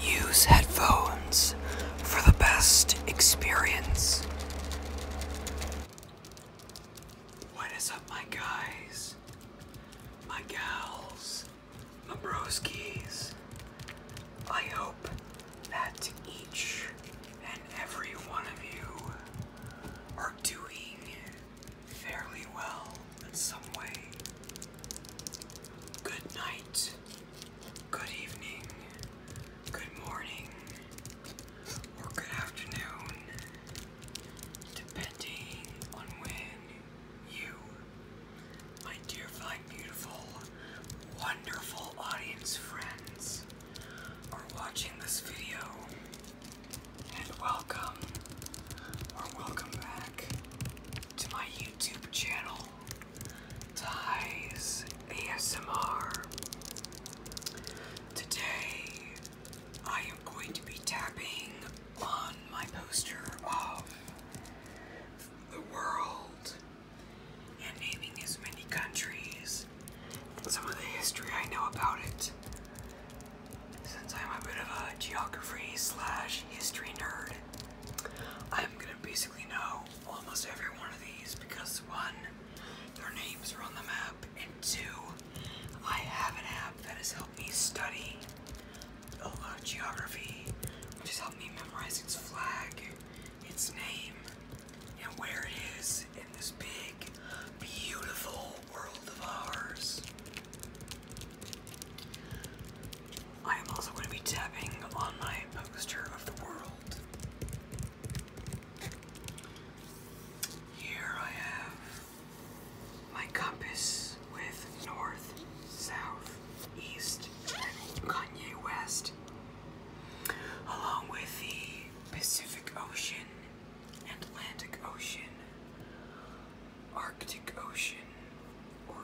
Use headphones for the best experience. What is up, my guys, my gals, my broskies? I hope that each and every one of you are doing fairly well in some way. Good night, good evening, good morning, or good afternoon, depending on when you, my dear, fine, beautiful, wonderful audience friends, are watching this video and welcome or welcome back to my YouTube channel, Ties ASMR. Today I am going to be tapping on my poster of the world and naming as many countries and some of the history I know about it since I'm a bit of a geography slash history nerd, I'm gonna basically know almost every one of these because one, their names are on the map, and two, I have an app that has helped me study a lot of geography, which has helped me memorize its flag, its name, and where it is in this big, beautiful world of ours. I am also going to be tapping on my poster of the world. Here I have my compass with north, south, east, and Kanye West, along with the Pacific Ocean Atlantic Ocean, Arctic Ocean, or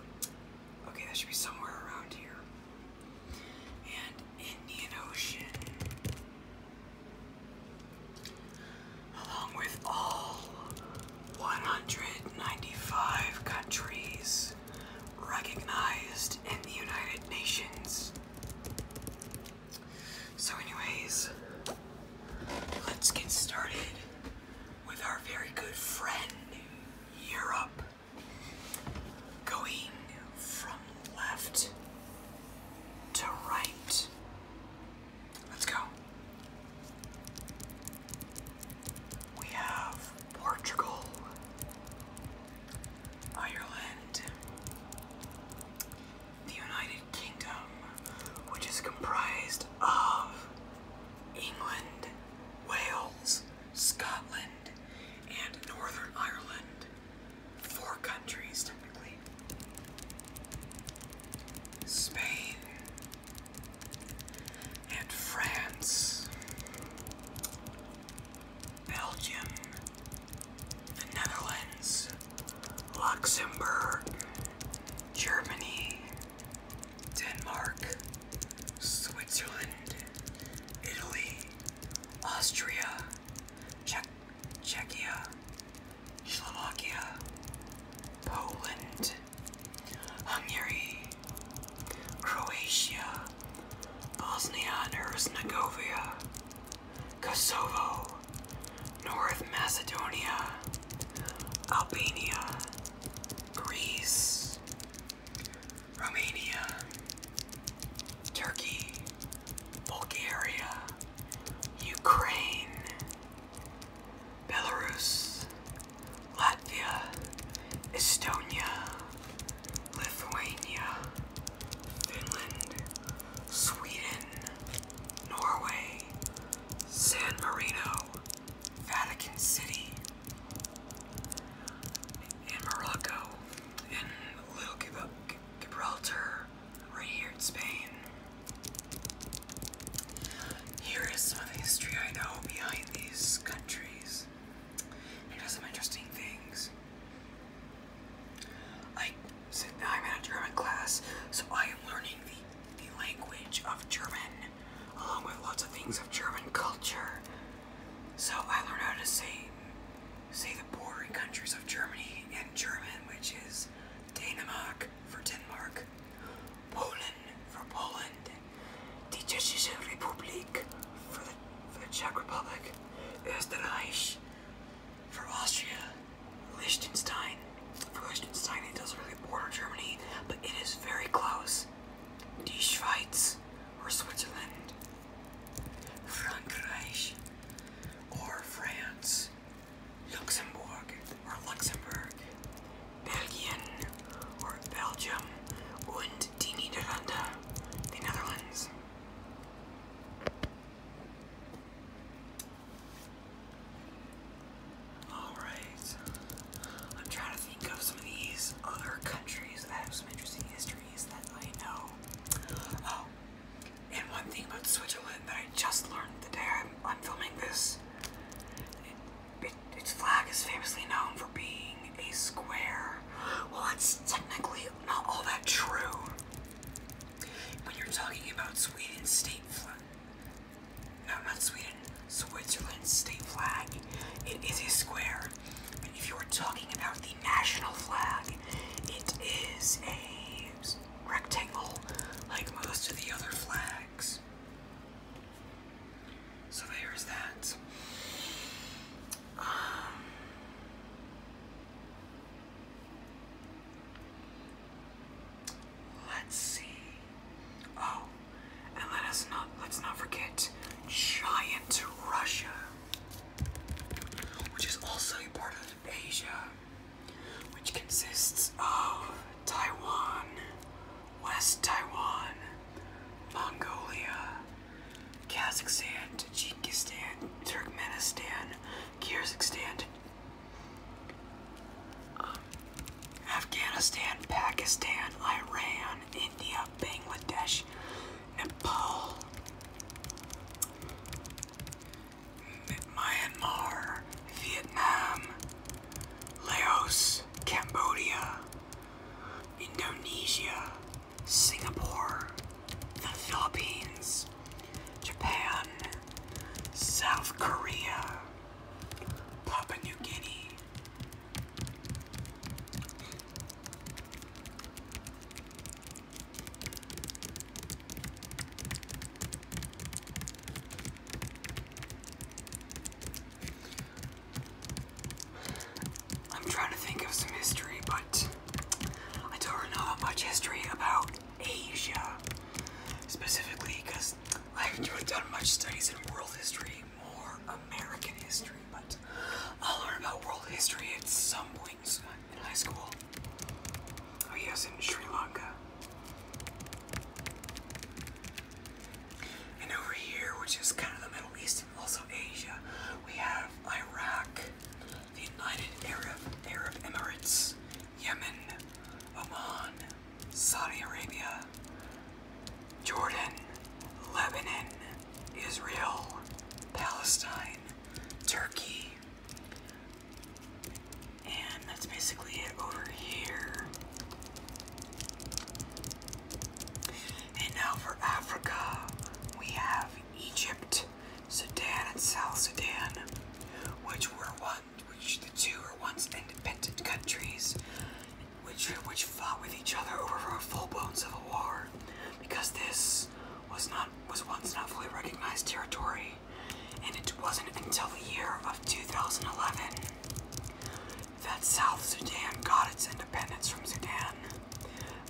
okay, that should be somewhere around here, and Indian Ocean, along with all 195 countries recognized in the United Nations. So anyways, let's get started with our very good friend, Europe. Going from left to right. Let's go. We have Portugal, Ireland, the United kingdom, which is comprised of England, Wales, Scotland, and Northern Ireland. Four countries, technically. Spain and France, Belgium, the Netherlands, Luxembourg, Germany, Denmark, Switzerland, Italy, Austria, Czech Czechia, Slovakia, Poland, Hungary, Croatia, Bosnia and Herzegovina, Kosovo, North Macedonia, Albania, Greece, Romania, Turkey, Bulgaria, Ukraine, Belarus, Latvia, Estonia, Lithuania, Finland, Sweden, Norway, San Marino, Vatican City, and Morocco, and Little Gib Gibraltar, right here in Spain. Here is some of the history I know behind these countries. And there's some interesting things. I am in a German class, so I am learning the, the language of German, along with lots of things of German culture. So I learned how to say say the bordering countries of Germany in German, which is Denmark for Denmark, Poland for Poland, Die Deutsche Republik for the for the Czech Republic, Österreich, for Austria, Liechtenstein. For Liechtenstein, it doesn't really border Germany, but it is very close. Die Schweiz, or Switzerland, Frankreich, or France, Luxembourg, or Luxembourg, Belgium, or Belgium, and Die the Netherlands. Alright. I'm trying to think of some of these other countries that have some interesting histories that I know. Oh, and one thing about Switzerland that I just learned the day I'm, filming this. it, its flag is famously known for being a square. Well, that's technically not all that true. When you're talking about Sweden's state flag, no, not Sweden, Switzerland's state flag, it is a square. And if you're talking about the national flag, it is a rectangle like most of the other flags. So there's that. Um, let's see. Oh, and let us not let's not forget giant Russia, which is also a part of Asia, which consists of Taiwan, West Taiwan, Mongolia, Kazakhstan, Tajikistan, Turkmenistan, Kyrgyzstan, Afghanistan, Pakistan, Iran, India, Bangladesh, Nepal, Myanmar, Vietnam, Laos, Cambodia, Indonesia, Singapore, the Philippines, Japan, South Korea, Papua New Guinea. I'm trying to think of some history, but I don't know that much history about Asia specifically because I haven't done much studies in world history, more American history, but I'll learn about world history at some point in high school. Oh yes, in Sri Lanka. And over here, which is kind of the Middle East and also Asia, we have Iraq, the United Arab, Arab Emirates, Yemen, Oman, Saudi Arabia, Jordan, Lebanon, Israel, Palestine, Turkey, and that's basically it over here. And now for Africa, we have Egypt, Sudan, and South Sudan, which were one, which the two were once independent countries, which which fought with each other over a full-blown civil war, because this was not was once not fully recognized territory, and it wasn't until the year of 2011 that South Sudan got its independence from Sudan,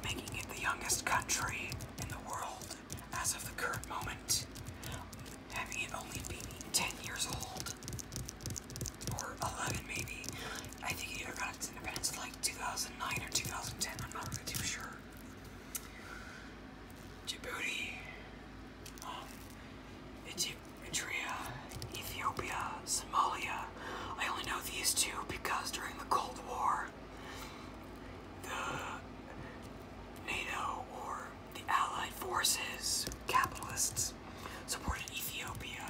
making it the youngest country in the world as of the current moment, having it only being 10 years old, or 11 maybe. I think it either got its independence like 2009 or 2010, I'm not really too sure. Djibouti um, Eritrea, Ethiopia, Somalia. I only know these two because during the Cold War, the NATO or the Allied forces, capitalists, supported Ethiopia,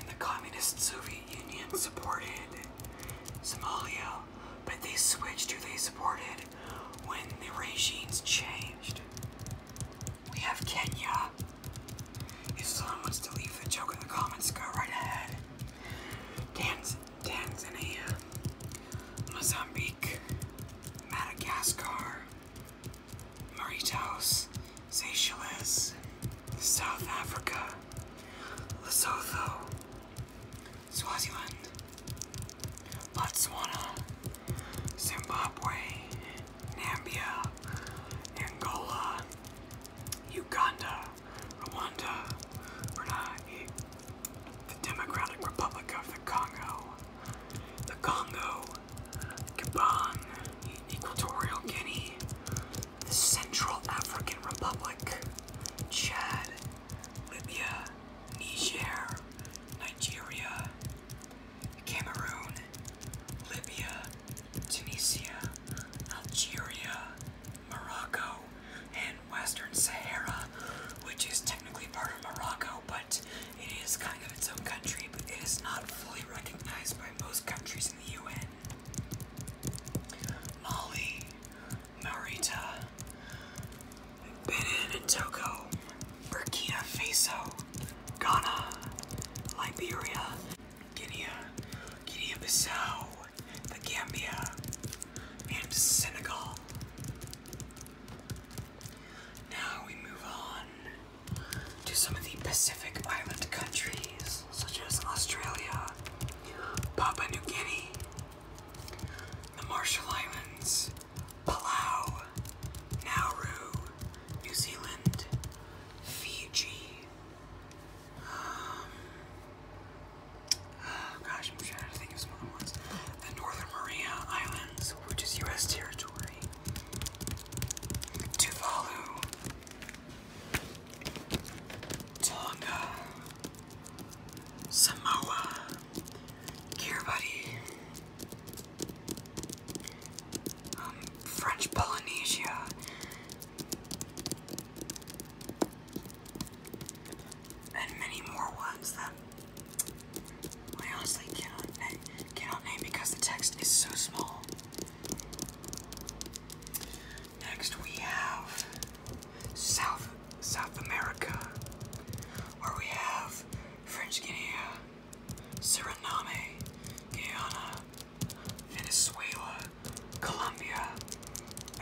and the Communist Soviet Union supported Somalia, but they switched who they supported when the regimes changed. We have Kenya. If someone wants to leave the joke in the comments, go right ahead. Tanzania, Mozambique, Madagascar, Mauritius, Seychelles, South Africa, Lesotho, Swaziland, Botswana, Zimbabwe, Nambia, Angola, Uganda, Rwanda, Brunei, the Democratic Republic of the Congo, the Congo, Gabon, Equatorial Guinea, the Central African Republic, Chad, Libya, Niger, Nigeria, Cameroon, Libya, Tunisia, Algeria, Morocco, and Western Sahara, which is technically part of Morocco, but it is kind of its own country, but it is not fully recognized by most countries in the UN. Mali, Marita, Benin and Togo, Burkina Faso, Ghana, Liberia, Guinea, Guinea-Bissau, the Gambia, and Senegal. Now we move on to some of the Pacific Island countries, such as Australia, Papua New Guinea, the Marshall Islands, Palau, Nauru, New Zealand, Fiji. Um, oh gosh, I'm trying to think of some other ones. The Northern Maria Islands, which is U.S. territory. Tuvalu, Tonga, Samoa, Gear Buddy, um, French Polynesia, and many more ones that I honestly cannot cannot name because the text is so small. Next we have South South America, where we have French Guiana, Suriname, Guyana, Venezuela, Colombia,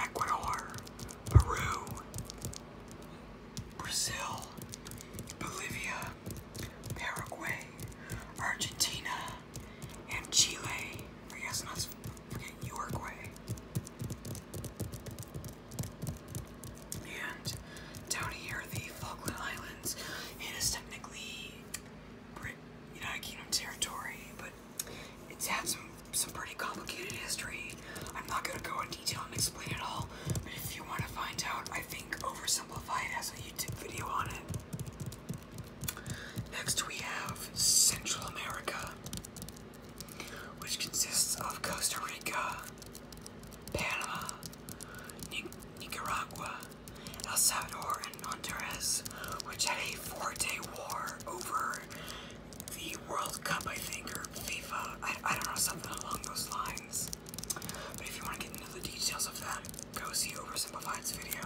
Ecuador, Peru, Brazil, Bolivia, Paraguay, Argentina, and Chile. I guess not Uruguay. And down here, the Falkland Islands, it is technically Brit United Kingdom territory, but it's had some some pretty complicated history. I'm not gonna go in detail and explain it all, but if you want to find out, I think Oversimplified has a YouTube video on it. Next, we have Central America which consists of Costa Rica, Panama, Nicaragua, El Salvador, and Honduras, which had a four day war over the World Cup, I think, or FIFA. I, I don't know, something along those lines. But if you want to get into the details of that, go see Oversimplified's video.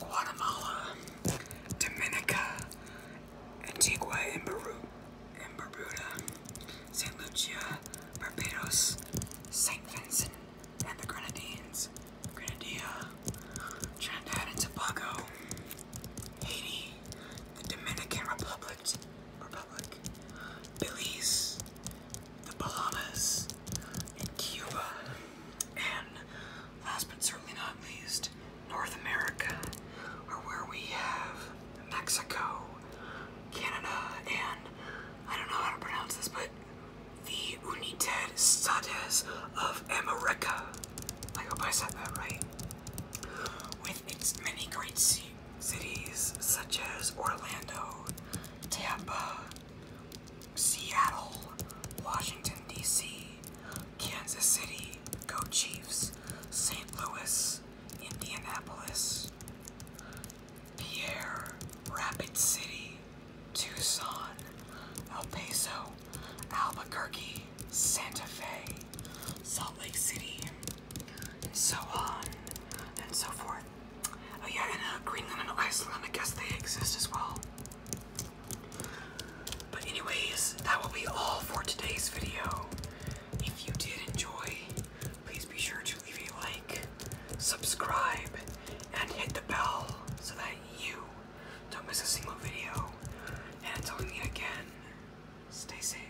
Guatemala, Dominica, Antigua and, Barbuda, St. Lucia, Barbados, St. Vincent and the Grenadines, Grenada, Trinidad and Tobago, Haiti, the Dominican Republic, Belize, the Bahamas, and Cuba, Last but certainly not least, North America, or where we have Mexico, Canada, and I don't know how to pronounce this, but the United States of America. I hope I said that right. With its many great cities such as Orlando, Tampa, Seattle, Washington, D.C., Kansas City, go Chiefs, St. Louis, Indianapolis, Pierre, Rapid City, Tucson, El Paso, Albuquerque, Santa Fe, Salt Lake City, and so on and so forth. Oh yeah, and uh, Greenland and Iceland, I guess they exist as well. But anyways, that will be all for today's video. If you did enjoy, please be sure to leave a like, subscribe, and hit the bell so that you don't miss a single video. And until we meet again, stay safe.